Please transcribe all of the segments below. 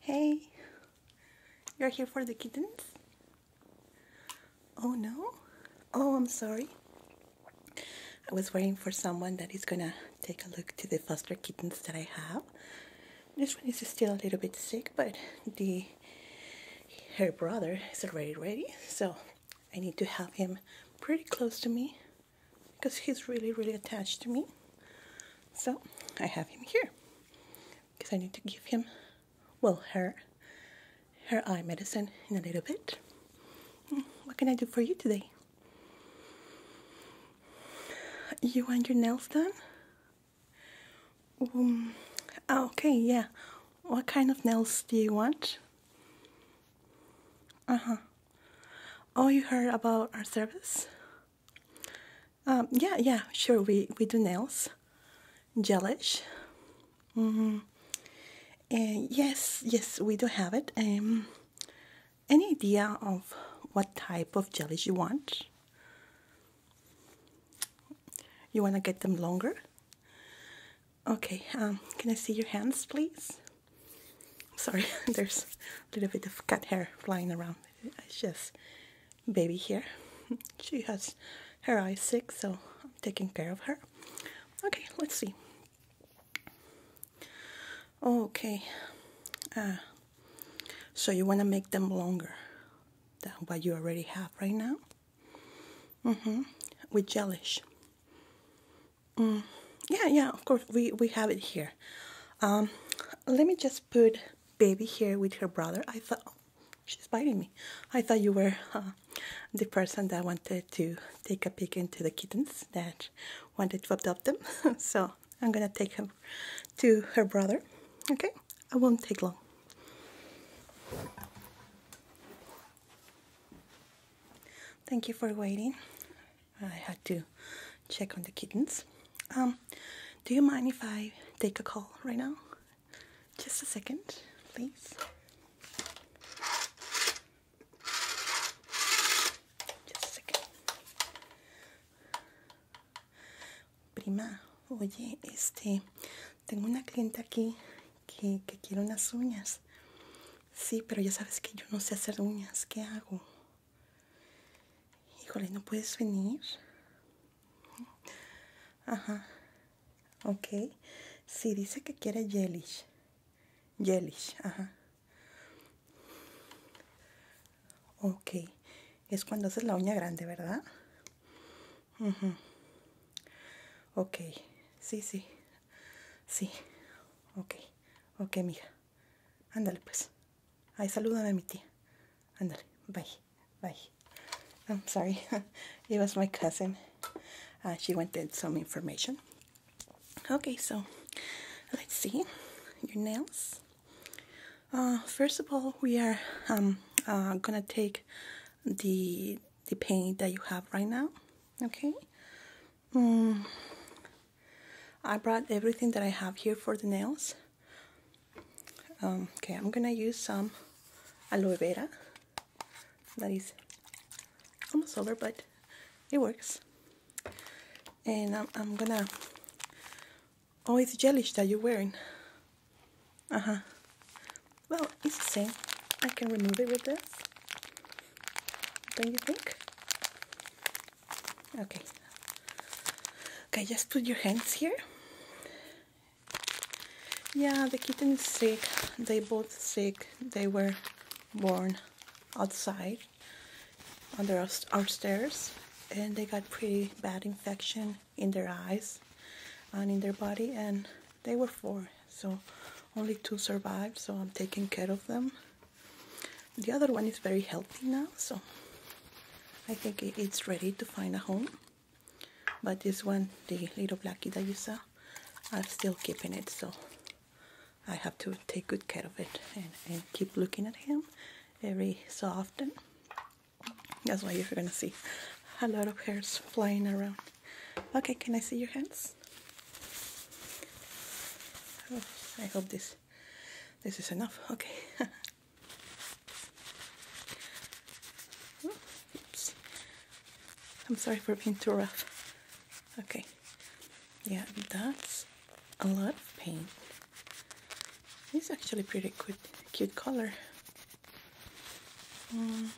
Hey, you're here for the kittens? Oh no? Oh, I'm sorry. I was waiting for someone that is gonna take a look to the foster kittens that I have. This one is still a little bit sick, but the her brother is already ready, so I need to have him pretty close to me because he's really, really attached to me. So I have him here because I need to give him, well, her, her eye medicine in a little bit. Mm, what can I do for you today? You want your nails done? Um, ah, okay, yeah. What kind of nails do you want? Uh huh. Oh, you heard about our service? Um, yeah, yeah, sure. We we do nails, gelish. Mm And yes, yes, we do have it. Um, any idea of what type of jellies you want? You want to get them longer? Okay, um, can I see your hands, please? Sorry, there's a little bit of cat hair flying around. It's just baby hair. She has her eyes sick, so I'm taking care of her. Okay, let's see. Okay, uh, so you want to make them longer than what you already have right now? Mm-hmm, with gelish. Mm. Yeah, yeah, of course, we, we have it here. Um, let me just put baby here with her brother. I thought, oh, she's biting me. I thought you were uh, the person that wanted to take a peek into the kittens that wanted to adopt them. so I'm gonna take her to her brother. Okay, it won't take long. Thank you for waiting. I had to check on the kittens. Um, do you mind if I take a call right now? Just a second, please. Just a second. Prima, oye, este, tengo una clienta aquí que, que quiere unas uñas. Sí, pero ya sabes que yo no sé hacer uñas. ¿Qué hago? Híjole, ¿no puedes venir? Ajá. Ok. Sí, dice que quiere Yelish. Yelish, ajá. Ok. Es cuando haces la uña grande, ¿verdad? Ajá Ok. Sí, sí. Sí. Ok. Ok, mija. Ándale, pues. Ay, saludan a mi tía. Ándale, bye, bye. I'm sorry. it was my cousin. Uh, she wanted some information. Okay, so let's see your nails. Uh, first of all, we are um, uh, gonna take the the paint that you have right now. Okay, um, I brought everything that I have here for the nails. Um, okay, I'm gonna use some aloe vera. That is almost over, but it works. And I'm, I'm gonna... Oh, it's gelish that you're wearing. Uh-huh. Well, it's the same. I can remove it with this. Don't you think? okay okay just put your hands here yeah the kitten is sick they both sick they were born outside under our stairs and they got pretty bad infection in their eyes and in their body and they were four so only two survived so I'm taking care of them the other one is very healthy now, so I think it's ready to find a home. But this one, the little blackie that you saw, I'm still keeping it, so I have to take good care of it and, keep looking at him every so often. That's why you're gonna see a lot of hairs flying around. Okay, can I see your hands? Oh, I hope this this is enough. Okay. Oops. I'm sorry for being too rough. Okay. Yeah, that's a lot of paint. It's actually pretty cute, cute color. Mm.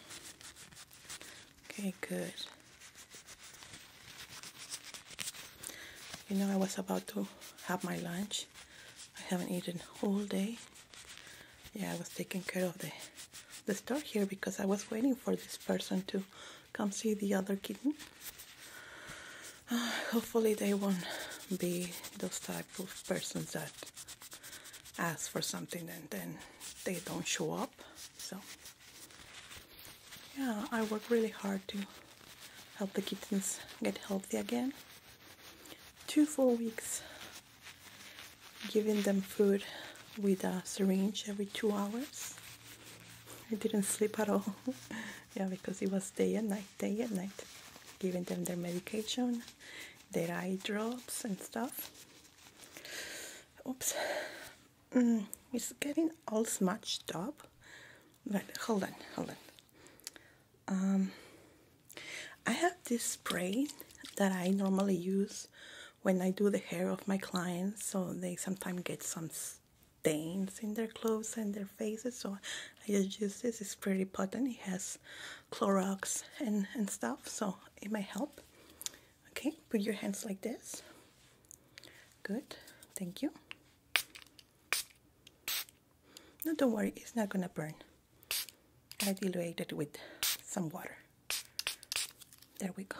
Okay, good. You know, I was about to have my lunch. I haven't eaten all day. Yeah, I was taking care of the, the store here because I was waiting for this person to come see the other kitten. hopefully they won't be those type of persons that ask for something and then they don't show up. So yeah, I work really hard to help the kittens get healthy again. Two full weeks, giving them food with a syringe every two hours. I didn't sleep at all. yeah, because it was day and night, day and night, giving them their medication, their eye drops and stuff. Oops, mm, it's getting all smashed up. But hold on, hold on. Um, I have this spray that I normally use when I do the hair of my clients, so they sometimes get some stains in their clothes and their faces. So I just use this. It's pretty potent. It has Clorox and and stuff, so it might help. Okay, put your hands like this. Good. Thank you. No, don't worry, it's not gonna burn. I dilute it with some water. There we go.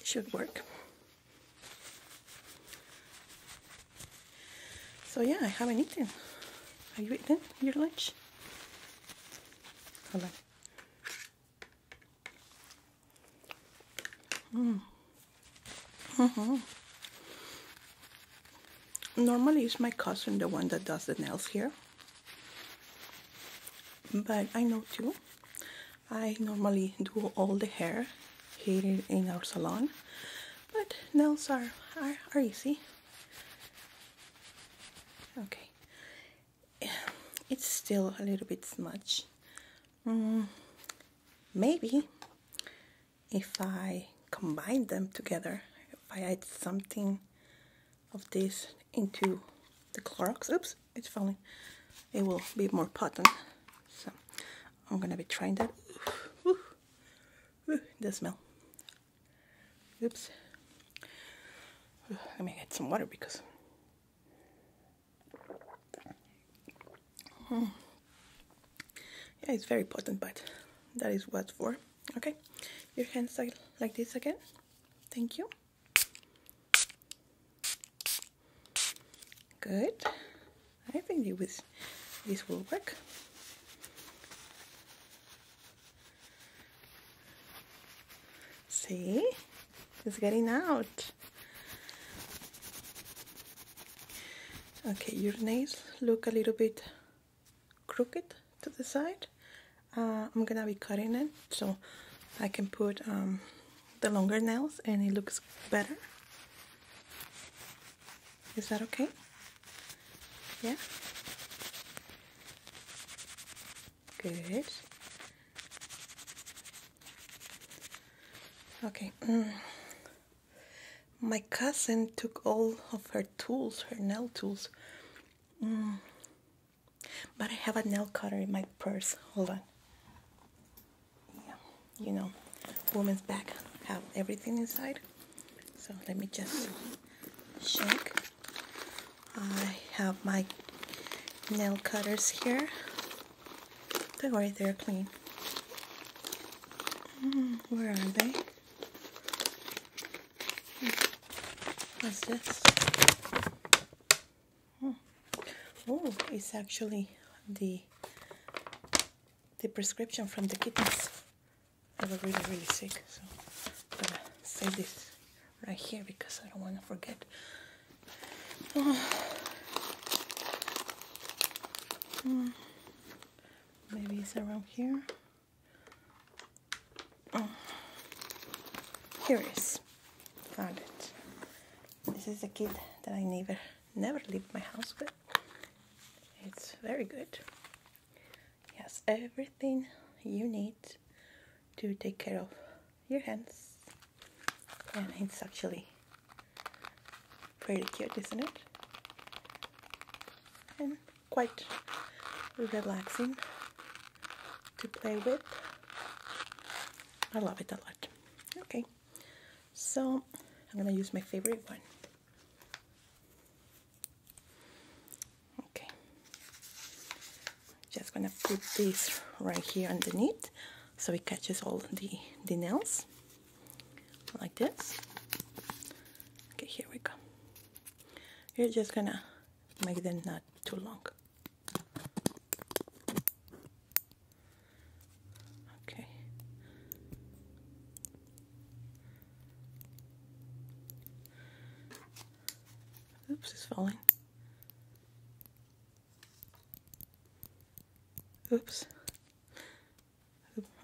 It should work. So yeah, I haven't eating. Are you eating your lunch? Hold Mm. Mm -hmm. Normally, it's my cousin the one that does the nails here, but I know too. I normally do all the hair here in our salon, but nails are, are, easy. Okay, it's still a little bit smudge. Mm, maybe if I combine them together, if I add something of this into the Clorox, oops, it's falling, it will be more potent. So I'm gonna be trying that. Ooh, ooh, ooh, the smell. Oops. Let me add some water because Hmm. Yeah, it's very potent, but that is what for. Okay, your hands like, like this again. Thank you. Good. I think it was, this will work. See? It's getting out. Okay, your nails look a little bit crooked to the side. Uh, I'm gonna be cutting it so I can put um, the longer nails and it looks better. Is that okay? Yeah? Good. Okay. Mm. My cousin took all of her tools, her nail tools. Mm. But I have a nail cutter in my purse. Hold on. Yeah, you know, woman's bag have everything inside. So let me just check. I have my nail cutters here they not right there, clean. Mm, where are they? What's this? Hmm. Oh. it's actually the the prescription from the kittens. They were really, really sick, so I'm gonna save this right here because I don't want to forget. Maybe it's around here. Oh. Here it is. Found it. This is a kit that I never, never leave my house with. It's very good. It has everything you need to take care of your hands. And it's actually pretty cute, isn't it? And quite relaxing to play with. I love it a lot. Okay, so I'm gonna use my favorite one. Okay, just gonna put this right here underneath so it catches all the, the nails like this okay here we go you're just gonna make them not too long okay oops it's falling Oops.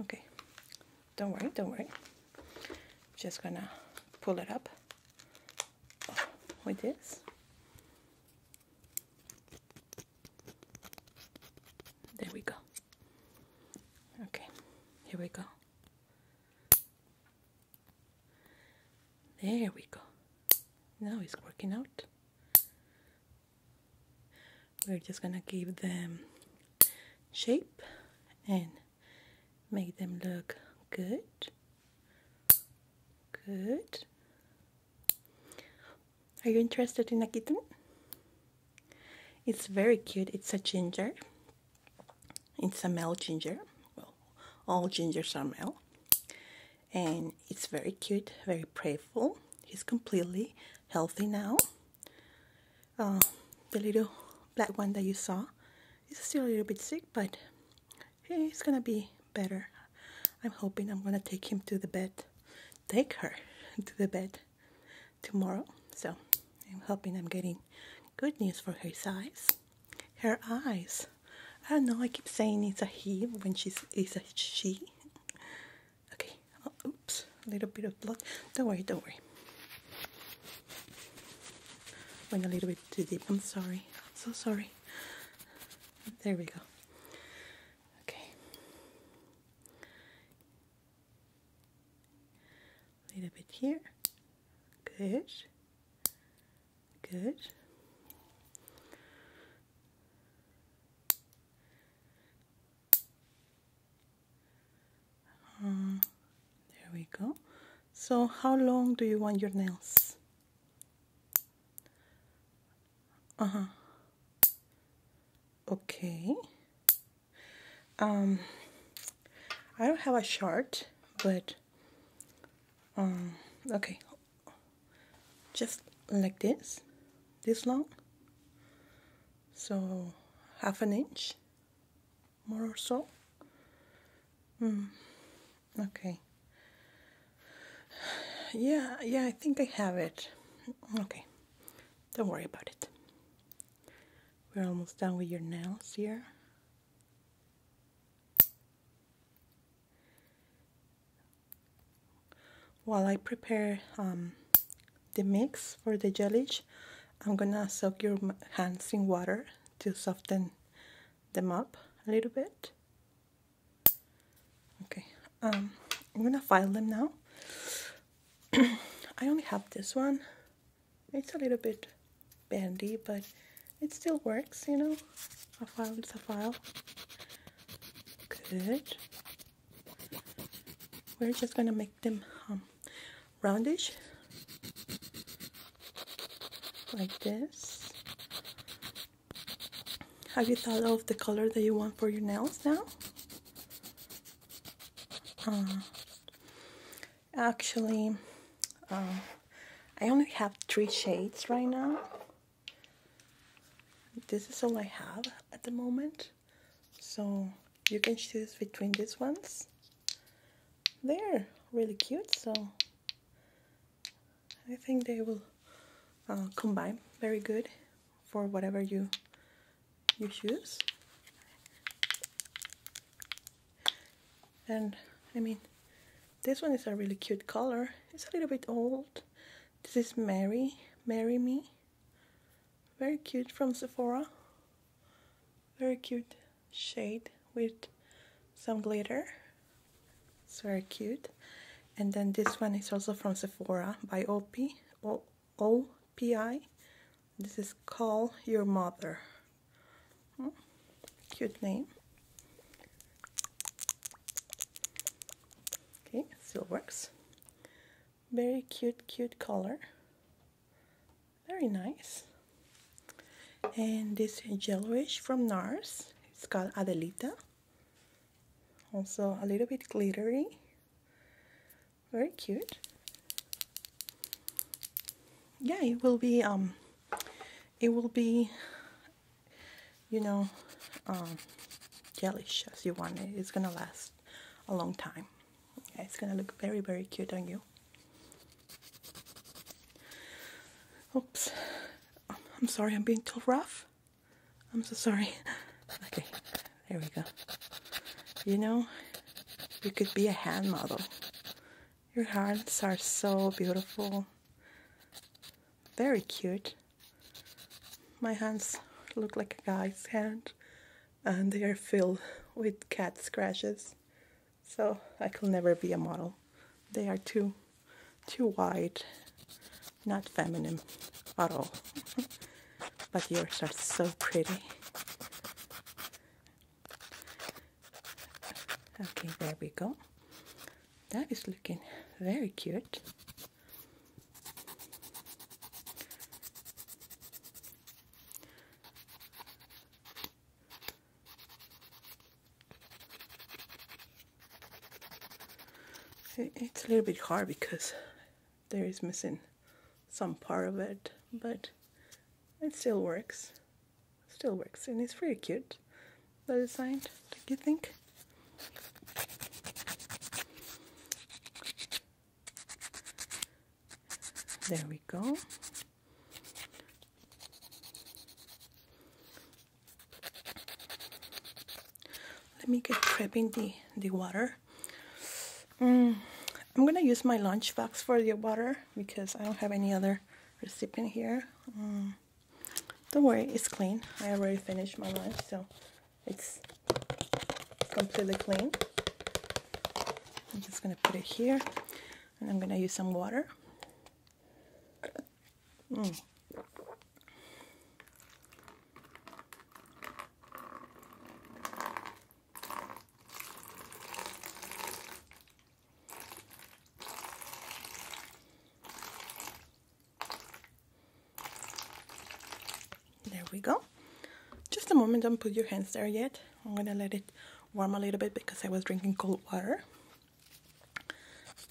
Okay. Don't worry, don't worry. Just gonna pull it up with this. There we go. Okay, here we go. There we go. Now it's working out we're just gonna give them shape and make them look good good are you interested in a kitten it's very cute it's a ginger it's a male ginger well all gingers are male and it's very cute, very playful. He's completely healthy now. Uh, the little black one that you saw is still a little bit sick, but he's gonna be better. I'm hoping I'm gonna take him to the bed, take her to the bed tomorrow. So I'm hoping I'm getting good news for her eyes. Her eyes. I don't know, I keep saying it's a he when she's it's a she okay, oops, a little bit of blood. Don't worry, don't worry. Went a little bit too deep. I'm sorry. I'm so sorry. There we go. Okay. A little bit here. Good. Good. Uh, there we go. So how long do you want your nails? Uh-huh. Okay. Um, I don't have a chart, but um, okay, just like this this long so half an inch more or so mm. okay yeah yeah I think I have it okay don't worry about it we're almost done with your nails here while I prepare um, the mix for the jellies, I'm gonna soak your hands in water to soften them up a little bit. Okay, um, I'm gonna file them now. I only have this one. It's a little bit bendy, but it still works, you know. A file is a file. Good. We're just gonna make them um, roundish, like this. Have you thought of the color that you want for your nails now? Uh, actually, uh, I only have three shades right now. This is all I have at the moment. So you can choose between these ones. They're really cute, so I think they will uh, combine very good for whatever you you choose. And I mean, this one is a really cute color. It's a little bit old, this is Mary, Marry Me. Very cute from Sephora. Very cute shade with some glitter. It's very cute. And then this one is also from Sephora by OP, o OPI. This is Call Your Mother. Hmm. Cute name. Okay, still works. Very cute, cute color. Very nice. And this yellowish from NARS. It's called Adelita. Also a little bit glittery. Very cute. Yeah, it will be um it will be you know, gelish um, as you want it. It's gonna last a long time. it's gonna look very, very cute on you. Oops. Um, I'm sorry, I'm being too rough. I'm so sorry. Okay, there we go. You know, you could be a hand model. Your hands are so beautiful. Very cute. My hands look like a guy's hand and they are filled with cat scratches. So I could never be a model. They are too too wide, not feminine at all. but yours are so pretty. Okay, there we go. That is looking very cute it's a little bit hard because there is missing some part of it but it still works still works and it's pretty cute that is signed, do you think? There we go. Let me get prepping the, the water. Mm, I'm gonna use my lunch box for the water because I don't have any other recipient here. Mm. Don't worry, it's clean. I already finished my lunch, so it's completely clean. I'm just gonna put it here and I'm gonna use some water. Mm. There we go. Just a moment, don't put your hands there yet. I'm gonna let it warm a little bit because I was drinking cold water.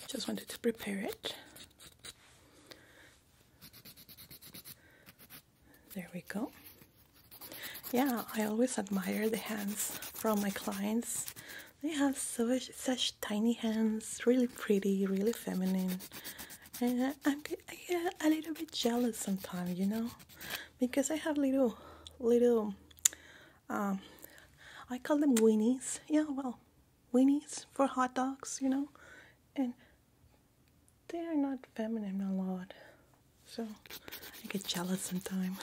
Just wanted to prepare it. There we go. Yeah, I always admire the hands from my clients they have such, such tiny hands, really pretty, really feminine. And I'm, I get a little bit jealous sometimes, you know, because I have little, little, um, I call them weenies. Yeah, well, weenies for hot dogs, you know, and they are not feminine at all, so I get jealous sometimes.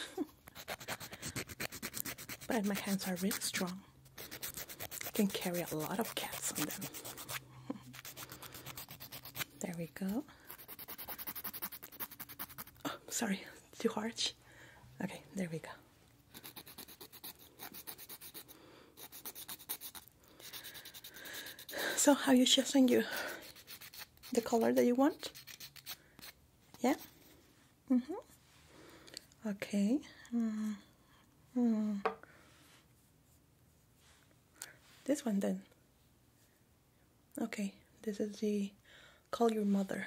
but my hands are really strong can carry a lot of cats on them. there we go. Oh, sorry, too harsh. Okay, there we go. So how you choosing you the color that you want? Yeah? Mm -hmm. Okay. Mm. Mm. This one then. Okay, this is the Call Your Mother.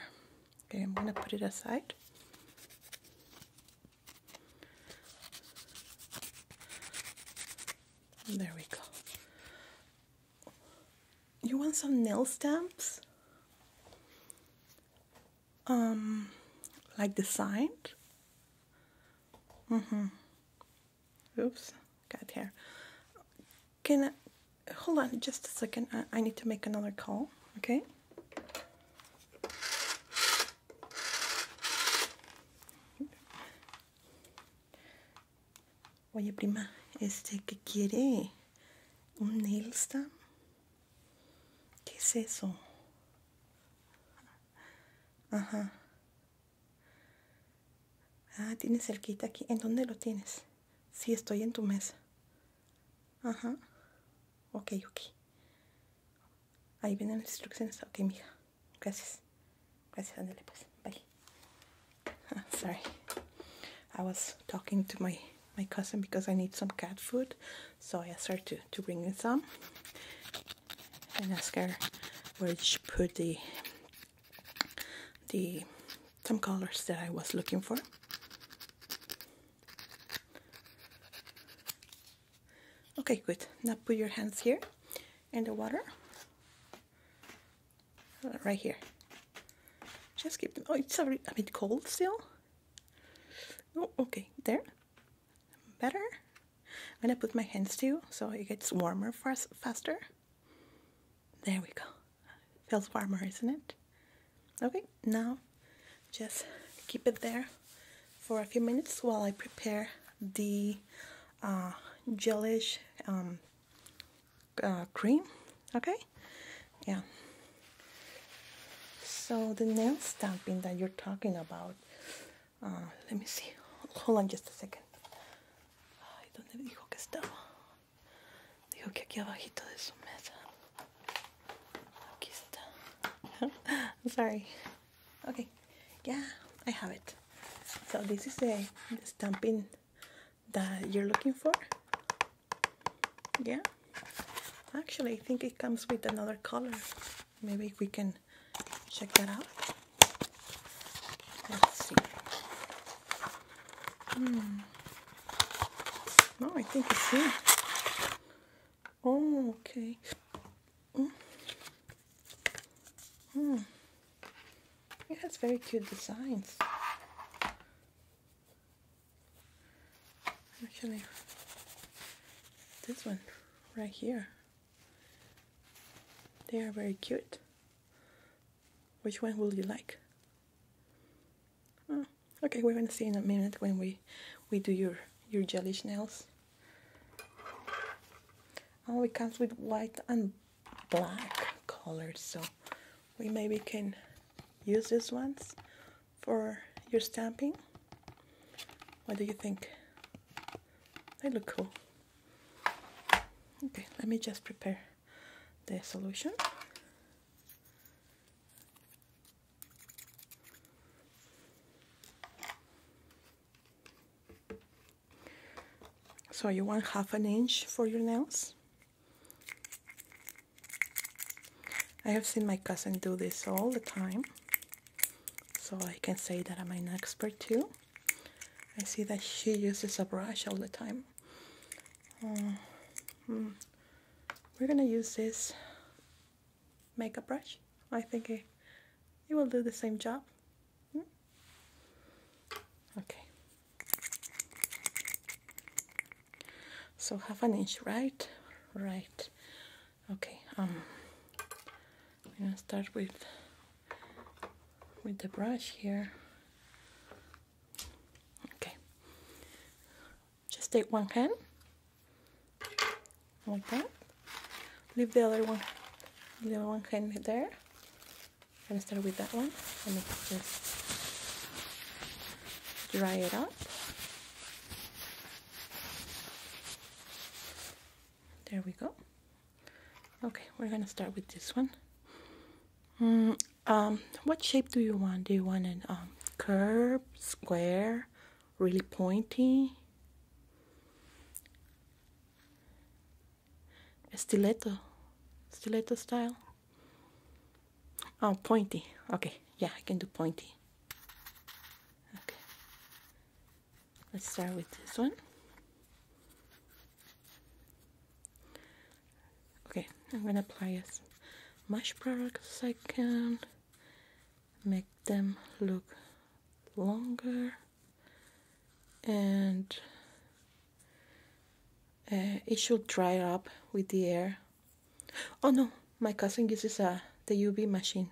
Okay, I'm gonna put it aside. There we go. You want some nail stamps? um, like the sign. Mm -hmm. Oops, got hair. Can I, hold on just a second. I, I need to make another call. Okay. Oye, prima, este que quiere un nail stamp. ¿Qué es eso? Ajá. Ah, tienes cerquita aquí. ¿En dónde lo tienes? Si estoy en tu mesa. Ajá. Ok, ok. Ahí vienen las instrucciones. Ok, mija. Gracias. Gracias, Andele pues. Bye. Sorry. I was talking to my my cousin because I need some cat food. So I asked to, to bring in some and ask her where she put the the some colors that I was looking for. Okay, good. Now put your hands here in the water. Uh, right here. Just keep, oh, it's a, a bit cold still. Oh, okay, there. Better? I'm gonna put my hands too so it gets warmer fast, faster. There we go. Feels warmer, isn't it? Okay, now just keep it there for a few minutes while I prepare the uh, gelish um, uh, cream. Okay? Yeah. So the nail stamping that you're talking about, uh, let me see. Hold on just a second. Ay, ¿dónde me dijo que estaba? Dijo que aquí está. I'm sorry. Okay. Yeah, I have it. So this is the stamping that you're looking for. Yeah. Actually, I think it comes with another color. Maybe we can check that out. Let's see. No, hmm. oh, I think it's here. Oh, okay. Mm. Hmm. It has very cute designs. Actually, this one right here. They are very cute. Which one will you like? Oh, okay, we're gonna see in a minute when we we do your your gelish nails. Oh, it comes with white and black colors, so we maybe can use these ones for your stamping. What do you think? They look cool. Okay, let me just prepare the solution. So you want half an inch for your nails. I have seen my cousin do this all the time, so I can say that I'm an expert too. I see that she uses a brush all the time. Uh, hmm. we're gonna use this makeup brush. I think it, will do the same job. Hmm? Okay so half an inch right right okay um I'm gonna start with with the brush here okay just take one hand like that leave the other one the other one hand there i gonna start with that one and just dry it up there we go. Okay, we're gonna start with this one. Mm, um, what shape do you want? Do you want an um, curve, square, really pointy? Stiletto, stiletto style? Oh, pointy. Okay, yeah, I can do pointy. Okay. Let's start with this one. Okay, I'm gonna apply as much product as I can, make them look longer, and uh, it should dry up with the air Oh no, my cousin uses uh, the UV machine.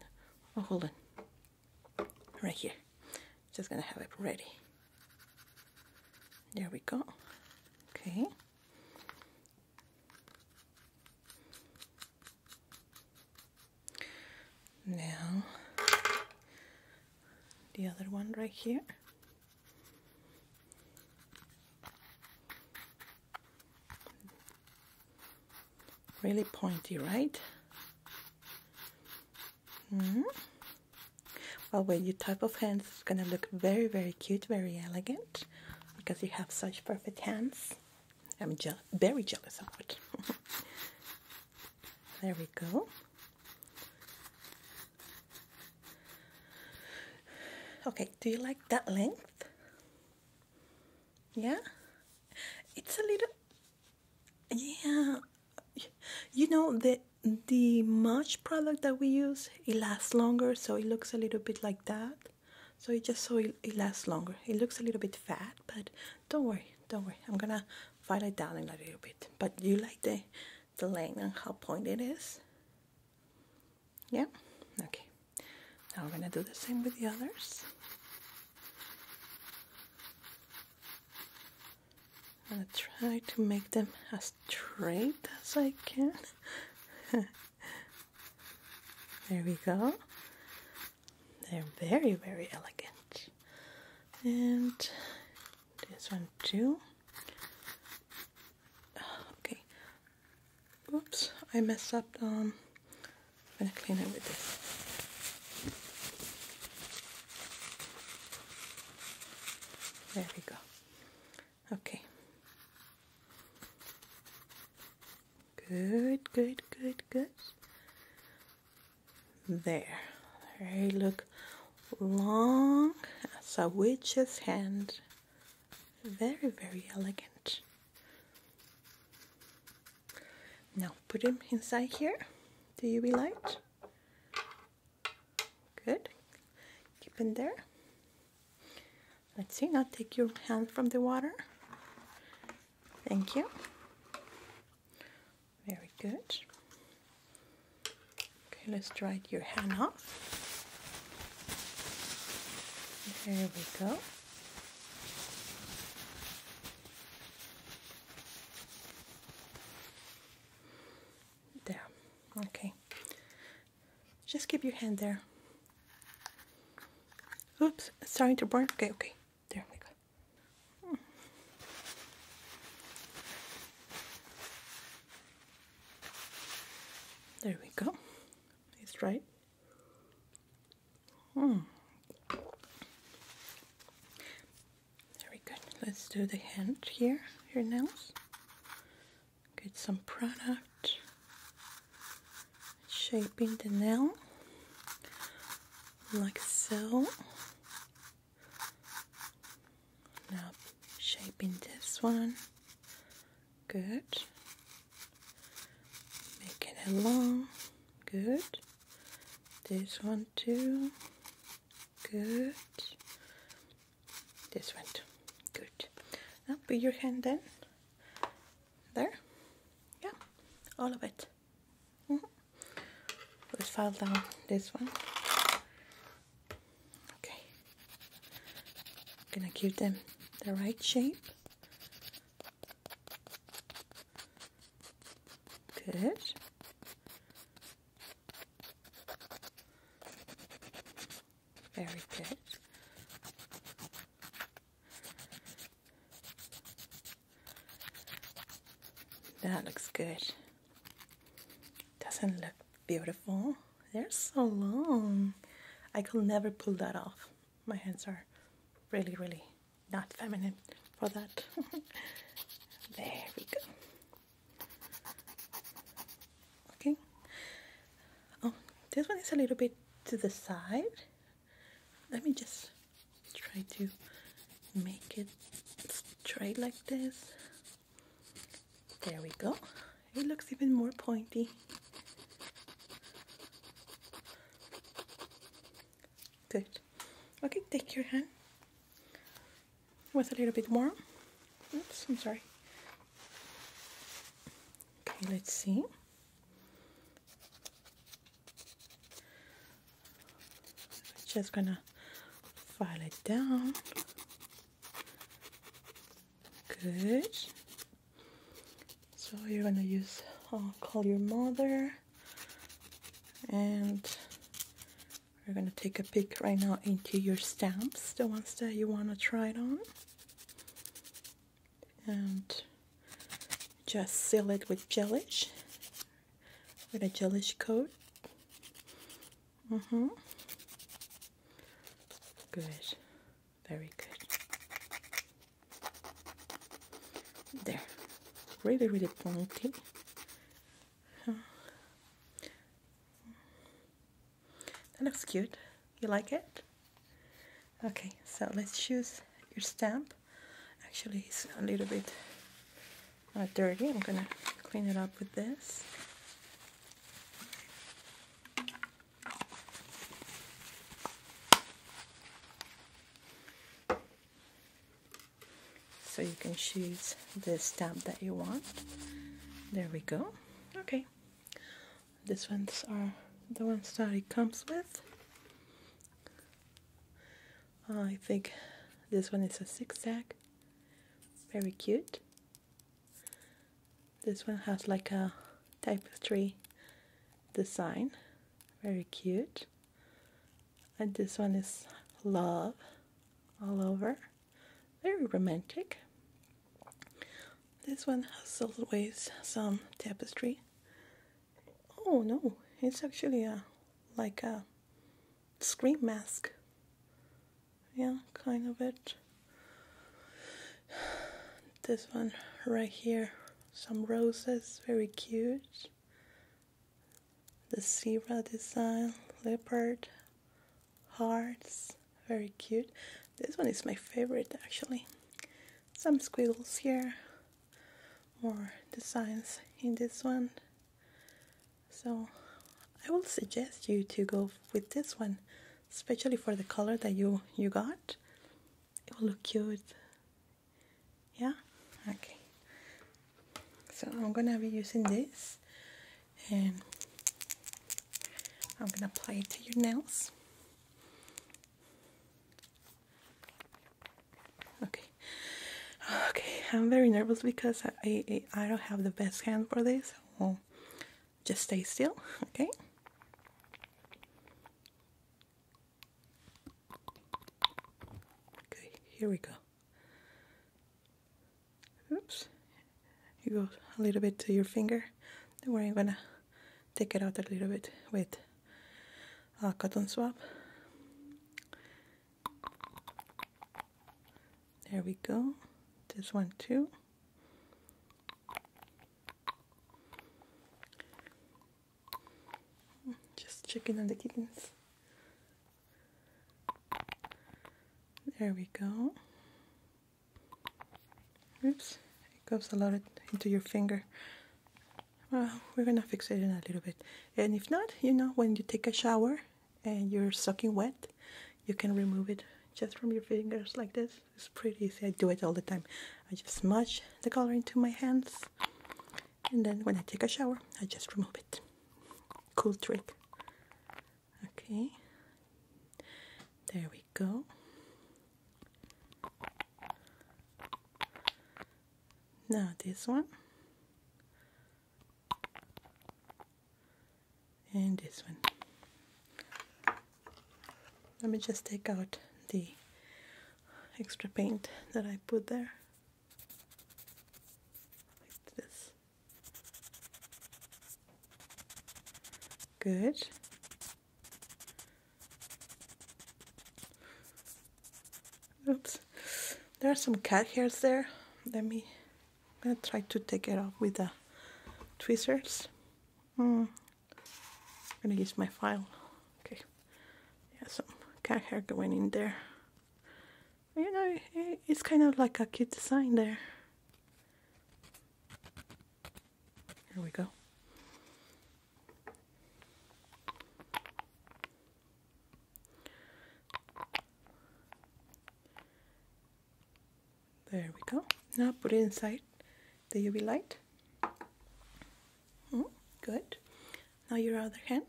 Oh, hold on. Right here. Just gonna have it ready. There we go. Okay. Now, the other one right here. Really pointy, right? Mm-hmm. Well, with your type of hands, it's going to look very, very cute, very elegant because you have such perfect hands. I'm je very jealous of it. there we go. Okay, do you like that length? Yeah? It's a little yeah you know the the much product that we use it lasts longer so it looks a little bit like that so it just so it, lasts longer it looks a little bit fat but don't worry don't worry i'm gonna it down a little bit but you like the the length and how pointed it is yeah? Okay. Now we're going to do the same with the others. I'm going to try to make them as straight as I can. there we go. They're very, very elegant. And this one too. Okay, Oops, I messed up. Um, I'm gonna clean it with this. There we go. Okay. Good, good, good, good. There. There you look long as a witch's hand. Very, very elegant. Now put him inside here. Do you relight? Good. Keep him there. Let's see, now take your hand from the water. Thank you. Very good. Okay, let's dry your hand off. There we go. There. Okay. Just keep your hand there. Oops, it's starting to burn. Okay, okay. There we go. There we go. It's right Hmm. Very good. Let's do the hand here, your nails. Get some product. Shaping the nail like so. Now shaping this one Good. Making it long. Good. This one too. Good. This one too. Good. Now put your hand There. Yeah. All of it. Mm-hmm. Let's file down this one. Okay. gonna give them the right shape. Good. Very good. That looks good. Doesn't look beautiful. They're so long. I could never pull that off my hands are really, really not feminine for that. there we go. Okay. Oh, this one is a little bit to the side. Let me just try to make it straight like this. There we go it looks even more pointy. Good. Okay, take your hand. With a little bit more. Oops, I'm sorry. Okay, let's see. Just gonna file it down. Good so you're gonna use uh, call your mother and we're gonna take a peek right now into your stamps the ones that you want to try it on and just seal it with gelish with a gelish coat mm-hmm good very good there. Really, really pointy. That looks cute. You like it? Okay, so let's choose your stamp. Actually, it's a little bit uh, dirty. I'm gonna clean it up with this. So you can choose the stamp that you want. There we go. Okay. These ones are the ones that it comes with. I think this one is a zigzag. Very cute. This one has like a tapestry design, very cute. And this one is love all over, very romantic. This one has always some tapestry. Oh no, it's actually a like a screen mask. Yeah, kind of it. This one right here, some roses, very cute. The zebra design, leopard, hearts, very cute. This one is my favorite actually. Some squiggles here, more designs in this one. So I will suggest you to go with this one, especially for the color that you, you got it will look cute yeah okay so I'm gonna be using this and I'm gonna apply it to your nails okay okay I'm very nervous because I, I, don't have the best hand for this so just stay still, okay? Okay, here we go. Oops, you go a little bit to your finger. Don't worry, gonna take it out a little bit with a cotton swab. There we go. This one too. Just checking on the kittens. There we go. Oops, it goes a lot into your finger. we're gonna fix it in a little bit. And if not, you know, when you take a shower and you're soaking wet, you can remove it just from your fingers like this. It's pretty easy. I do it all the time. I just smudge the color into my hands and then when I take a shower, I just remove it. Cool trick. Okay. There we go. Now this one. And this one. Let me just take out the extra paint that I put there. Like this. Good. Oops. There are some cat hairs there. Let me i try to take it off with the tweezers. Mm, I'm gonna use my file. Okay, yeah, some cat hair going in there. You know, it's kind of like a cute design there. Here we go. There we go. Now put it inside the UV light. Mm, good. Now your other hand.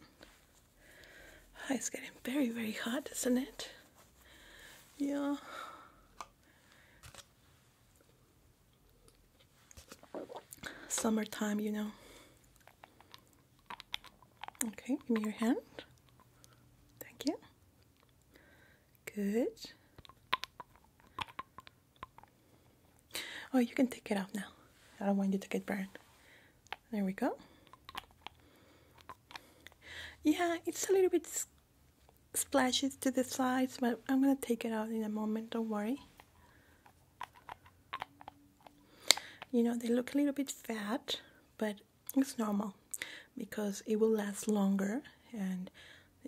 Ah, it's getting very, very hot, isn't it? Yeah. Summertime, you know. Okay, give me your hand. Thank you. Good. Oh, you can take it out now. I don't want you to get burned. There we go. Yeah, it's a little bit splashes to the sides, but I'm gonna take it out in a moment, don't worry. You know, they look a little bit fat, but it's normal because it will last longer and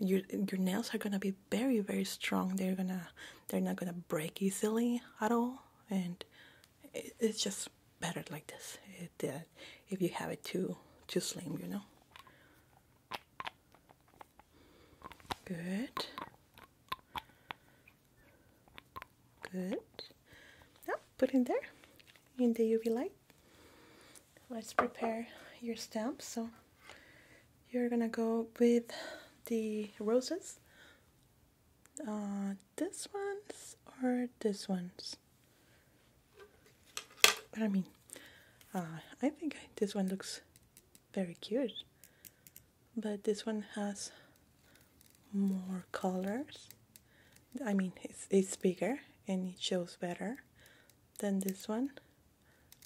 your your nails are gonna be very very strong. They're gonna they're not gonna break easily at all, and it's just better like this. It, uh, if you have it too too slim, you know. Good. Good. Now put in there in the UV light let's prepare your stamps. So you're gonna go with the roses. Uh, this one's or this one's? I mean, uh, I think this one looks very cute. But this one has more colors. I mean, it's, it's bigger and it shows better than this one.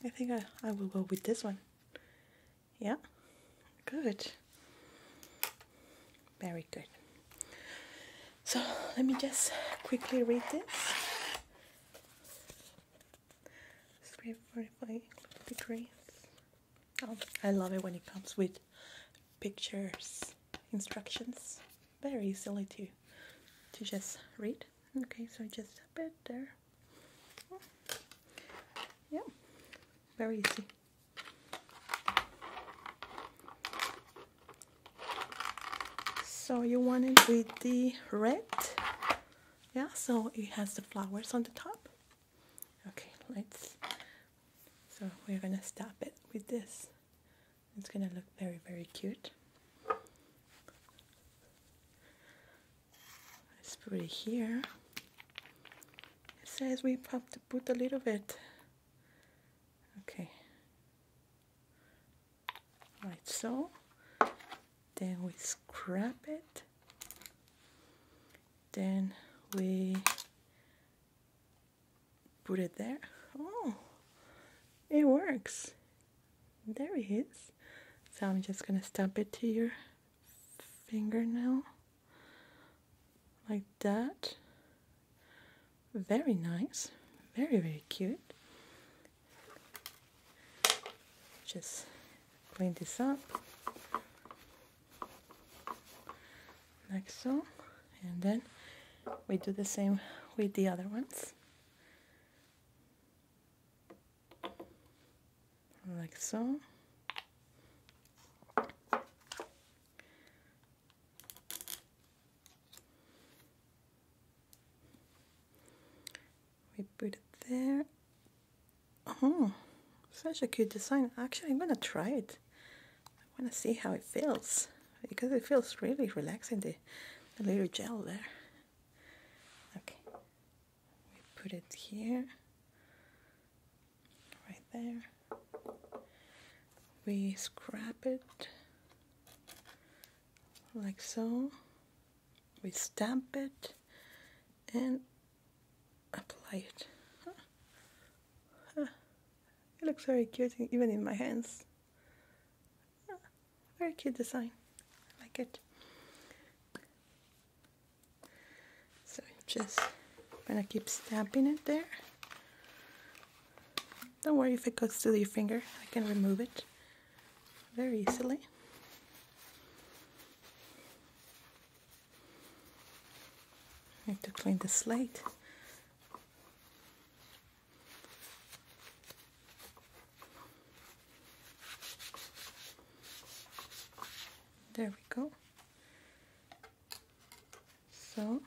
I think I, I will go with this one. Yeah, good. Very good. So let me just quickly read this. Three, four, five degrees. Oh, I love it when it comes with pictures, instructions. Very easily to to just read. Okay, so just a bit there. Yeah, very easy. So you want it with the red. Yeah, so it has the flowers on the top. Okay, let's, so we're gonna stop it with this. It's gonna look very, very cute. Let's put it here. It says we have to put a little bit. Okay. Right. so. Then we scrap it. Then we put it there. Oh, it works. There it is. So I'm just going to stamp it to your fingernail. Like that. Very nice. Very, very cute. Just clean this up. Like so. And then we do the same with the other ones like so. We put it there. Oh, such a cute design. Actually, I'm gonna try it. I wanna see how it feels because it feels really relaxing, the, little gel there. Okay, we put it here, right there. We scrap it like so. We stamp it and apply it. It looks very cute even in my hands very cute design. I like it. So just gonna keep stamping it there. Don't worry if it goes through your finger. I can remove it very easily. I need to clean the slate. There we go. So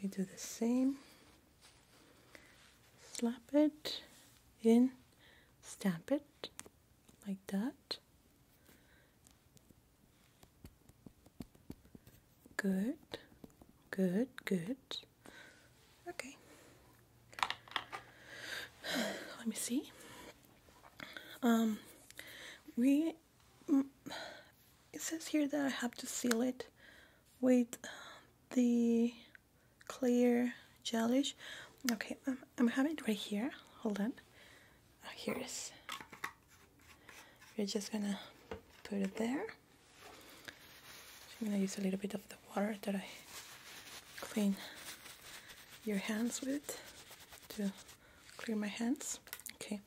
we do the same. Slap it in, stamp it like that. Good, good, good. Okay. Let me see. Um, we. Mm, it says here that I have to seal it with the clear gelish. Okay, I'm, I'm having it right here. Hold on. Oh, here it is. We're just gonna put it there. I'm gonna use a little bit of the water that I clean your hands with to clean my hands. Okay,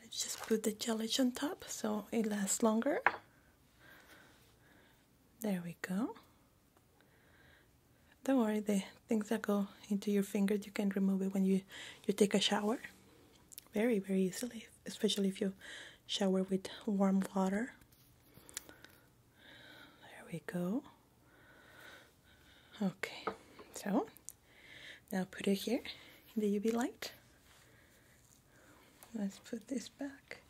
let's just put the jelly on top so it lasts longer. There we go. Don't worry, the things that go into your fingers, you can remove it when you, you take a shower. Very, very easily, especially if you shower with warm water. There we go. Okay, so now put it here in the UV light. Let's put this back.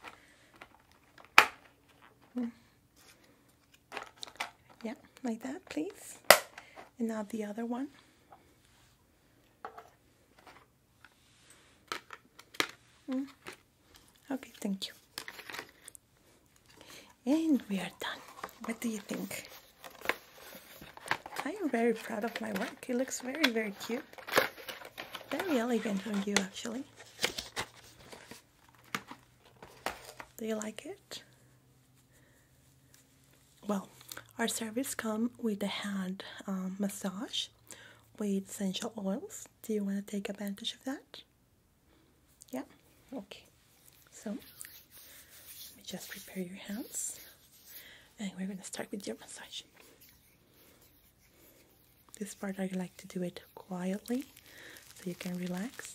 Hmm. Yeah, like that, please. And now the other one. Mm. Okay, thank you. And we are done. What do you think? I am very proud of my work. It looks very, very cute. Very elegant on you, actually. Do you like it? Well, our service come with a hand uh, massage with essential oils do you want to take advantage of that? Yeah? Okay. So, let me just prepare your hands. And we're going to start with your massage. This part I like to do it quietly so you can relax.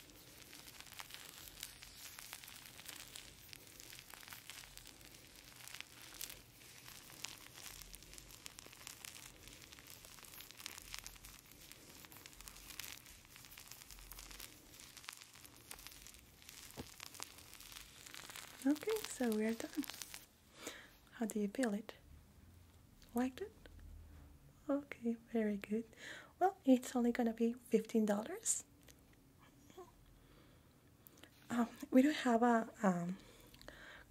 Okay, so we are done. How do you feel it? Liked it? Okay, very good. Well, it's only gonna be fifteen dollars. Um, we do have a um,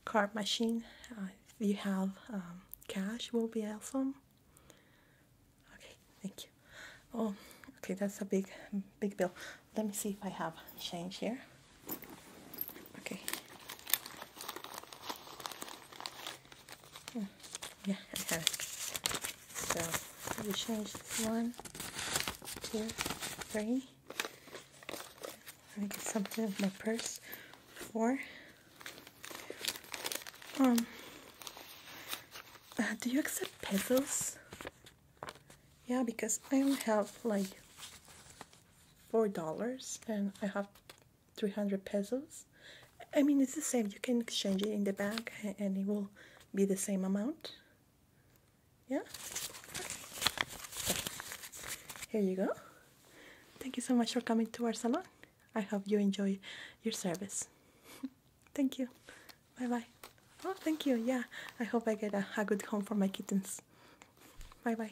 card machine. Uh, if you have um, cash, will be awesome. Okay, thank you. Oh, okay, that's a big, big bill. Let me see if I have change here. Okay yeah, I have it. So we change one, two, three. Let me get something of my purse. Four. Um. Uh, do you accept pesos? Yeah, because I only have like four dollars and I have three hundred pesos. I mean it's the same you can exchange it in the bank, and it will be the same amount yeah here you go thank you so much for coming to our salon I hope you enjoy your service thank you bye bye oh thank you yeah I hope I get a good home for my kittens bye bye